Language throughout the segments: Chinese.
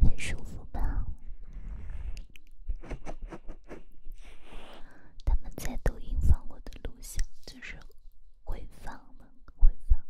很舒服吧？他们在抖音放我的录像，就是回放嘛，回放。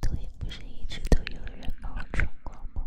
抖音不是一直都有人冒充吗？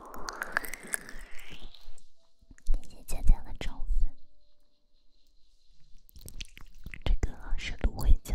谢谢佳佳的超粉，这个是芦荟胶。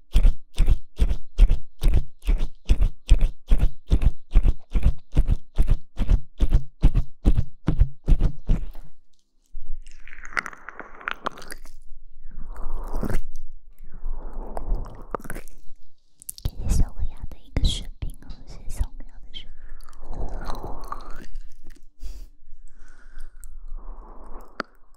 感谢小萌芽的一个视频哦，是小萌芽的视频。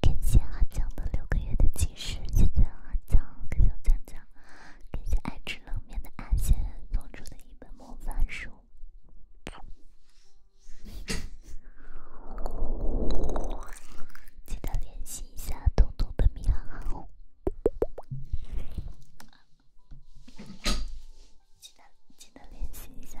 感谢阿江的六个月的计时，谢谢阿江，感谢江江，感谢爱吃冷面的阿谢送出的一本魔法书。记得练习一下彤彤的米老鼠。记得记得练习一下。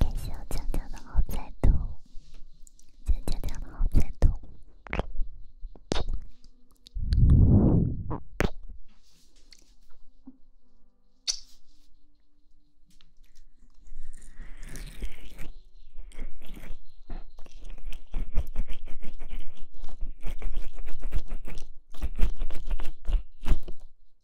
感谢我江江的好彩头，江江江的好彩头。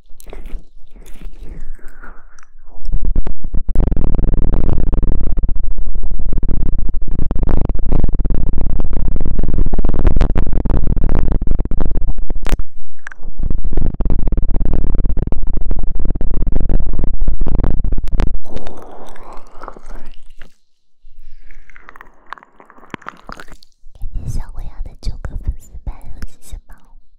感谢小灰鸭的九个粉丝牌和谢星猫。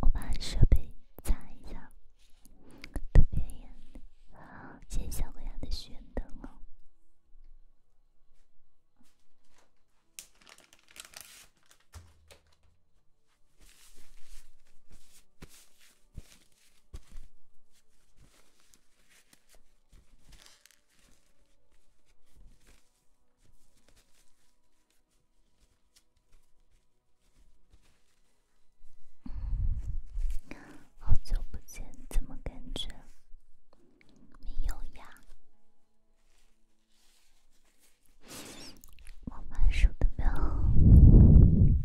我把设备擦一下，特别严。好，谢谢小薇的许愿灯哦。好久不见，怎么感觉你有呀？我满手都没有。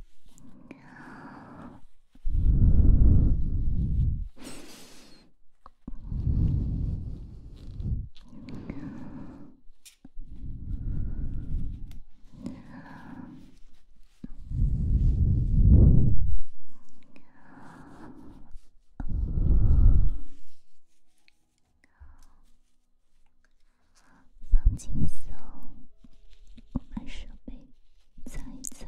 放轻松，我把设备藏一藏。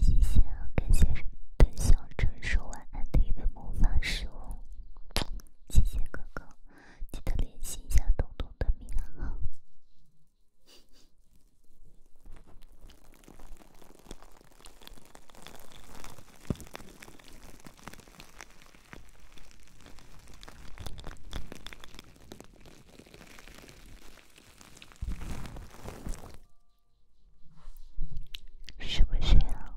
谢谢，啊，感谢本小镇说晚安的一魔法师。谢谢哥哥。记得联系一下东东的名暗号。是不是呀？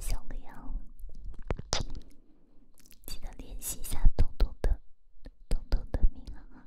谢谢小哥呀，记得联系一下彤彤的彤彤的名妈啊。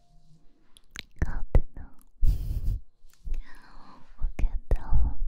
好的呢，我看到了。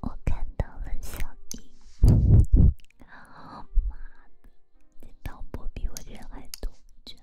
我看到了小姨，妈的，这导播比我人还多，绝了！